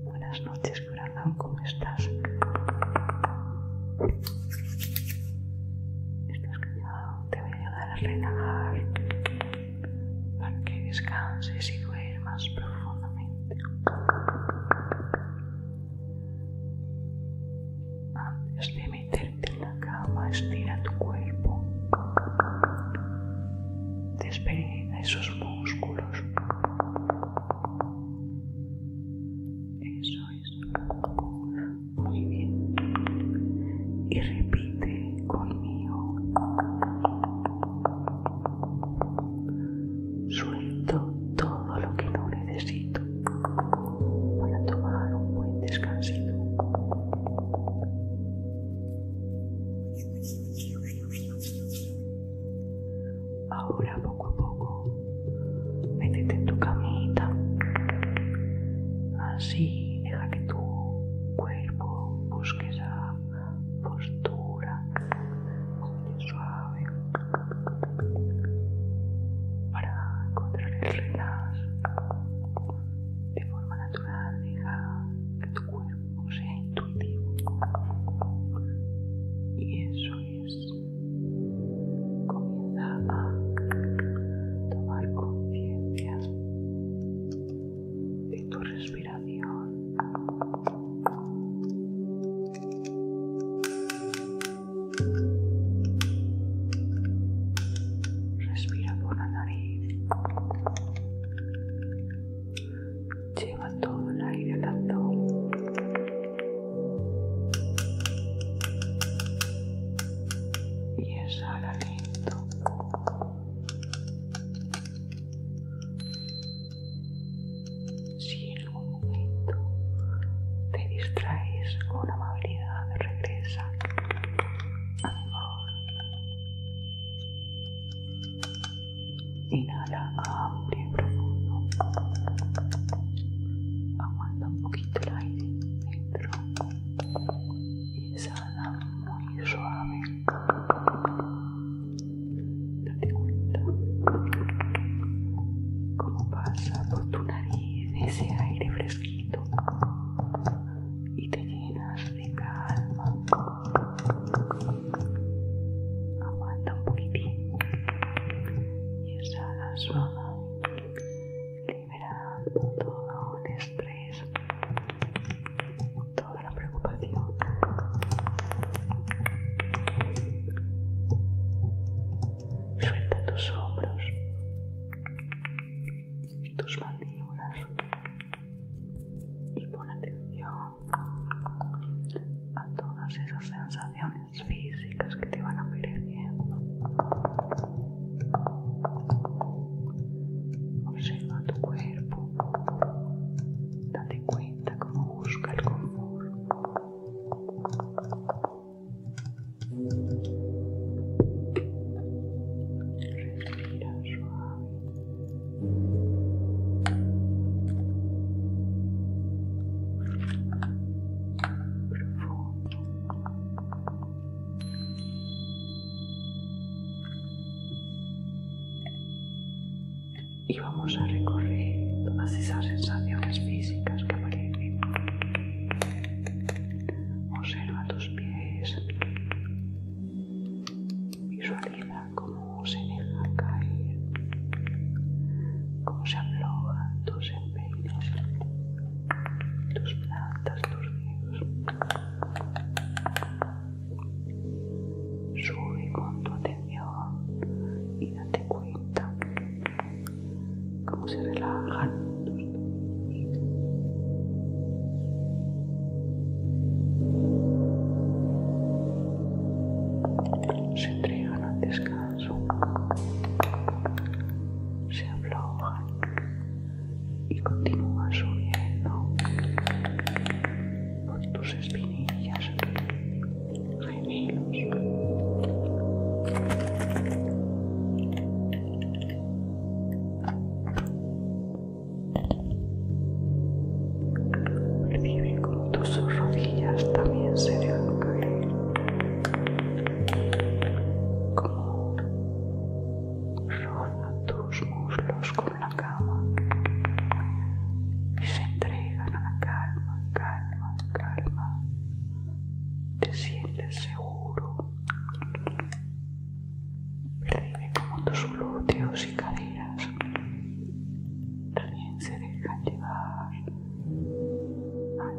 Buenas noches, corazón, ¿cómo estás? ¿Estás callado, Te voy a ayudar a relajar para que descanses y duermas profundamente. Antes de Meterte en la cama, estira tu cuerpo. despega esos músculos. Eso es. Muy bien. Y repite conmigo. Suelto todo lo que no necesito para tomar un buen descansito. Ahora poco a poco, métete en tu camita. Así deja que tu cuerpo busque esa postura suave para encontrar el relax de forma natural, deja tu cuerpo sea intuitivo. Y eso es. Comienza a tomar conciencia de tu respiración. Respira por la nariz. Lleva todo el aire al Y exhala lento. Si en algún momento te distraes con amabilidad, regresa Inhala amplio y profundo. Aguanta un poquito el aire dentro. Y exhala muy suave. Date cuenta cómo pasa por tu nariz ese aire fresquito y te llenas de calma. Aguanta un poquitín y exhala suave, liberando todo el estrés, toda la preocupación. Suelta tus hombros tus mandíbulas y pon atención a todas esas sensaciones físicas que te van apareciendo. Observa tu cuerpo, date cuenta cómo busca el confort. Respira suave. Y vamos a recorrer todas esas sensaciones físicas que aparecen. Observa tus pies. Visualiza cómo se deja caer, cómo se aflojan tus empeños, tus plantas, tus dedos. Sube con tu atención y date cuenta se relajan. Se entregan al descanso, se aflojan y continúan subiendo por tus espinillas, gemelos. Percibe como tus rodillas también se dejan caer, como rozan tus muslos con la cama y se entregan a la calma, calma, calma. Te sientes seguro, Riven como tus glúteos y caderas. También se dejan llevar.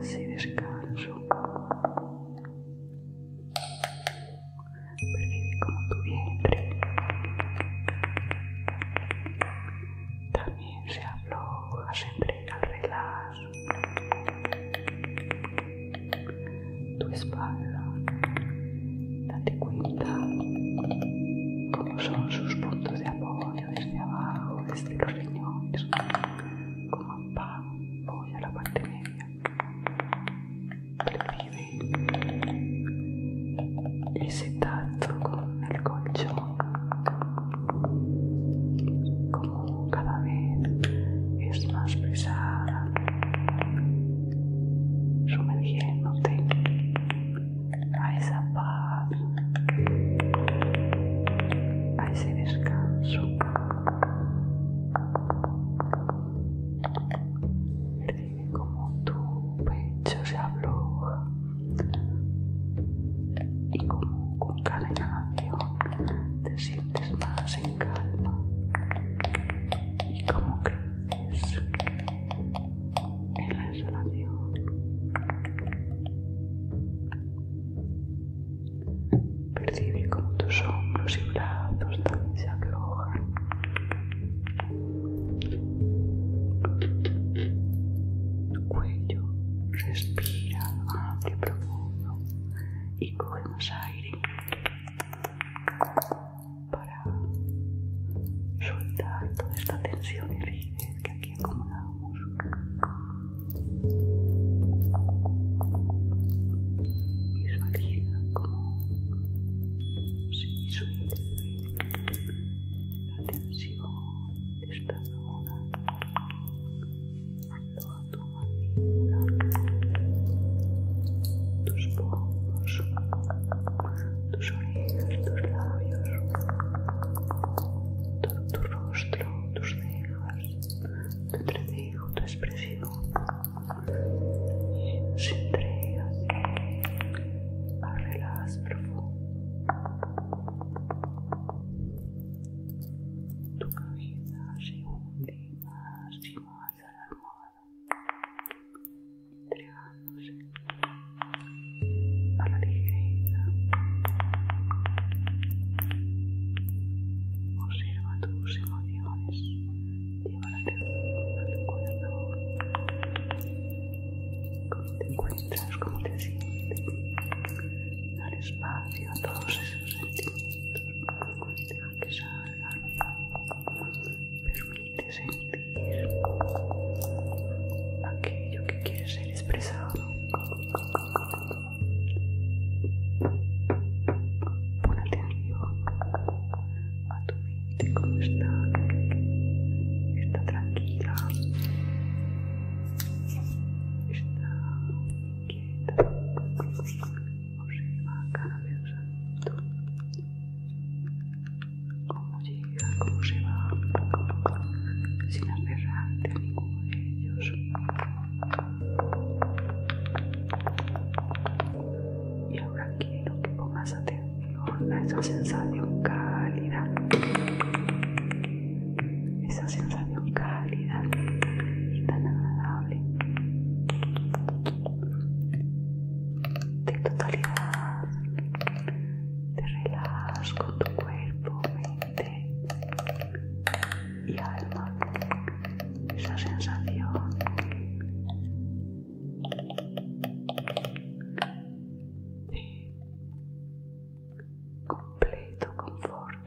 Así descanso. Percibe como tu vientre también se afloja, se entrega al regalo tu espalda. Date cuenta cómo son sus puntos de apoyo desde abajo, desde los riñones, como a la parte media. Percibe ese tacto con el colchón como cada vez es más pesada, sumergiéndote a esa paz, a ese descanso. Percibe como tu pecho se afloja y como con cada inhalación te sientes más se en calma y como creces en la exhalación Percibe como tus hombros y brazos también se tu Cuello, respira amplio y profundo y coge más aire para soltar toda esta tensión y rigidez que aquí acumulamos. Visualiza como se la tensión de esta zona tu tus ojos tus orejas, tus labios, todo tu rostro, tus cejas, tu tu expresión. entrega a profundo. Tu cabeza se hunde los a hacia la almohada, entregándose a la ligereza. Observa tus emociones, lleva la atención a tu cuerpo. ¿Cómo te encuentras? ¿Cómo te sientes? Dar espacio a todos esos sentimientos y permite sentir aquello que quiere ser expresado. a atención a tu mente, como está, está tranquila, está inquieta va cada pensamiento cómo llega, cómo se va sin aferrarte a ninguno de ellos y ahora quiero que pongas atención a esa sensación cálida esa sensación calidad cálida y tan agradable de totalidad te relajas con tu cuerpo, mente y alma esa sensación de completo confort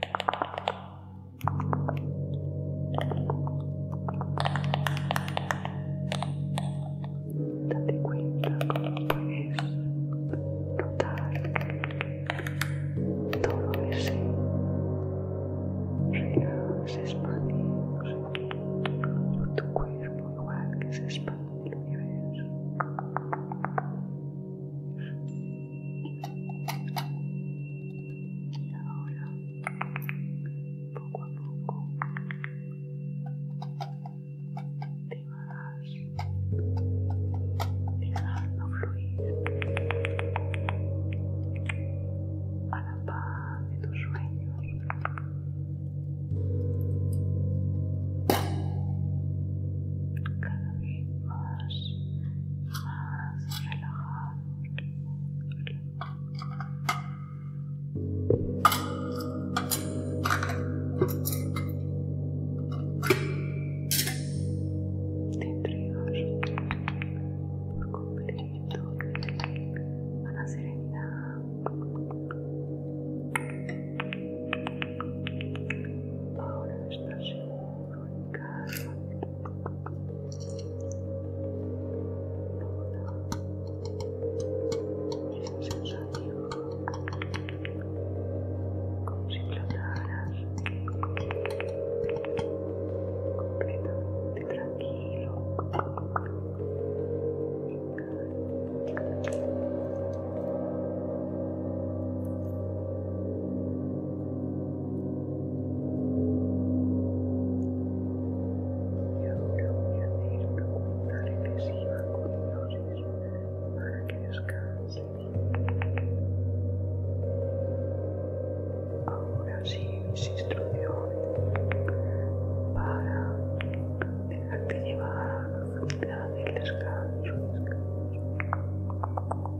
Date cuenta cómo puedes notar todo ese expande expandido tu cuerpo igual que se expande el universo. Y ahora, poco a poco, te vas dejando fluir a la paz de tus sueños. Cada vez más, más relajado. Te entregas por completo a la serenidad. Ahora estás seguro como si flotaras completamente tranquilo y ahora voy a hacer una cuenta regresiva con dios para que descanse. Ahora sí, mis instrucciones para dejarte llevar a la del descanso.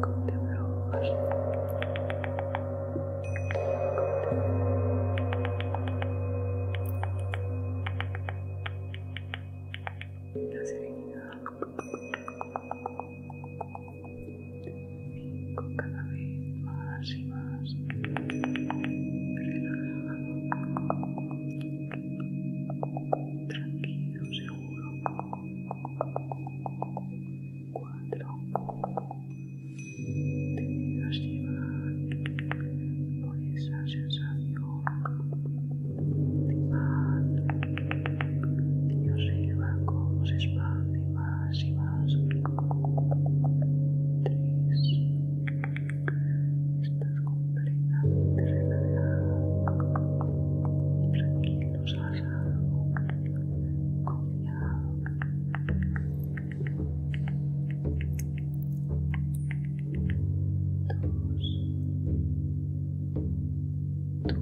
con de la serenidad y con cada vez más y más relajado Tranquilo, seguro. Cuatro. Te dejas llevar por esa sensación de paz y observa cómo se expande más y más. Tres. Estás completamente relajado, tranquilo, relajado, confiado. Dos. Tu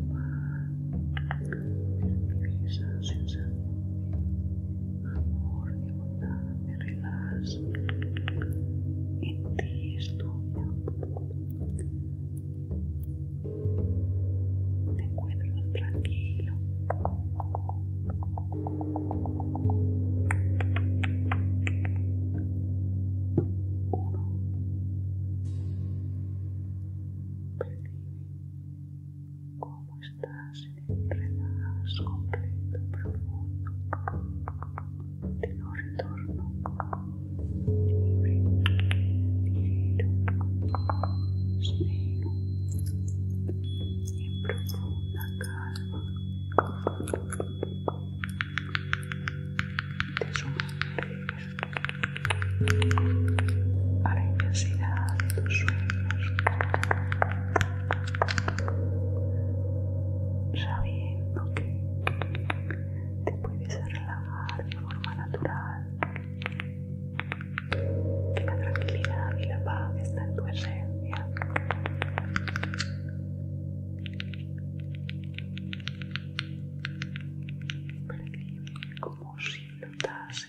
esa sensación amor, de bondad, me relajas. En ti es te encuentro tranquilo. Uno. Percibe cómo estás en el relajo completo profundo de no retorno libre, ligero, sereno, en profunda calma te sumerges a la intensidad de tus sueños sabiendo que te puedes relajar de forma natural. La tranquilidad y la paz están en tu esencia. como si flotases.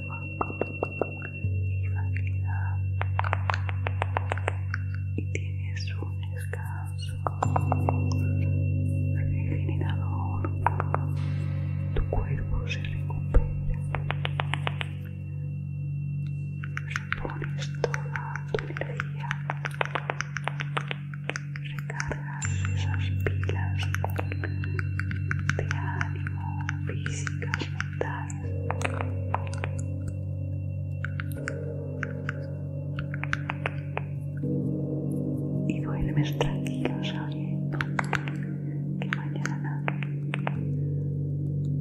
y y tienes un descanso regenerador tu cuerpo se recupera repones toda tu energía recarga esas pilas de ánimo, físicas, mentales. Y duermes tranquilo sabiendo que mañana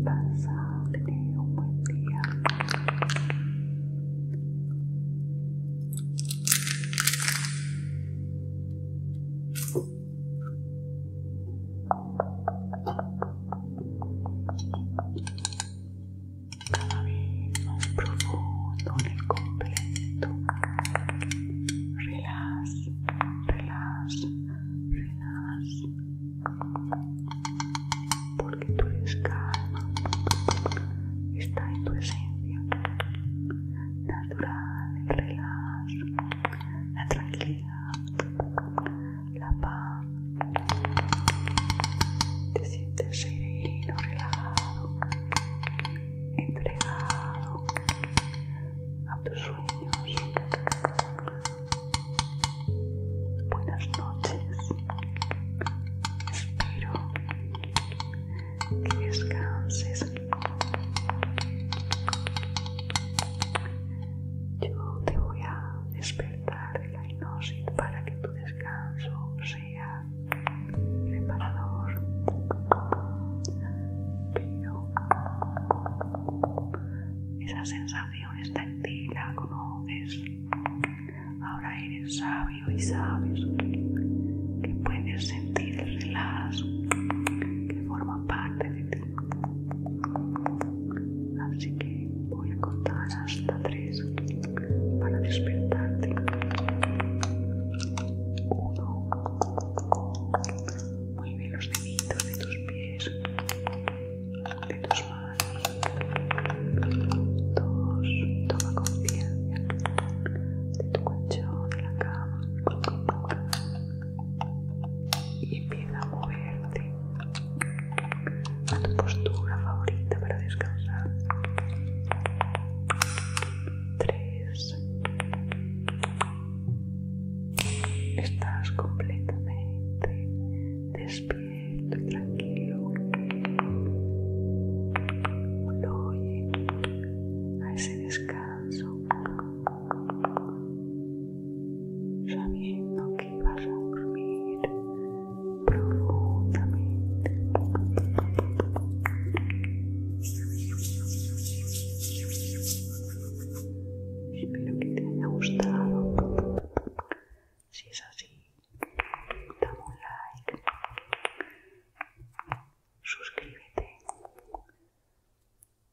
vas a tener un buen día. Cada vez más profundo en el completo. Relájate, relájate, relájate. Porque tú eres Está en tu esencia natural, el relajo, la tranquilidad, la paz. Te sientes sereno, relajado, entregado a tus sueños. Buenas noches. Espero que descanses. Yo te voy a despertar de la hipnosis para que tu descanso sea reparador. Pero esa sensación está en ti, la conoces. Ahora eres sabio y sabio que puedes sentir el relajados que forma parte de ti. Así que voy a contar hasta tres para despertarte. Uno. mueve los deditos de tus pies, de tus manos. Dos. Toma conciencia de tu colchón, de la cama y empieza a moverte a tu postura favorita para descansar. 3. Estás completamente despierto y tranquilo. Lo oye a ese descanso sabiendo que vas a dormir profundamente. Espero que te haya gustado. Si es así, dame un like suscríbete.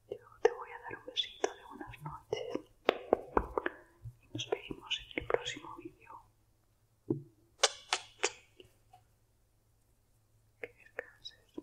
Yo te voy a dar un besito de buenas noches y nos vemos en el próximo vídeo. Que descanses.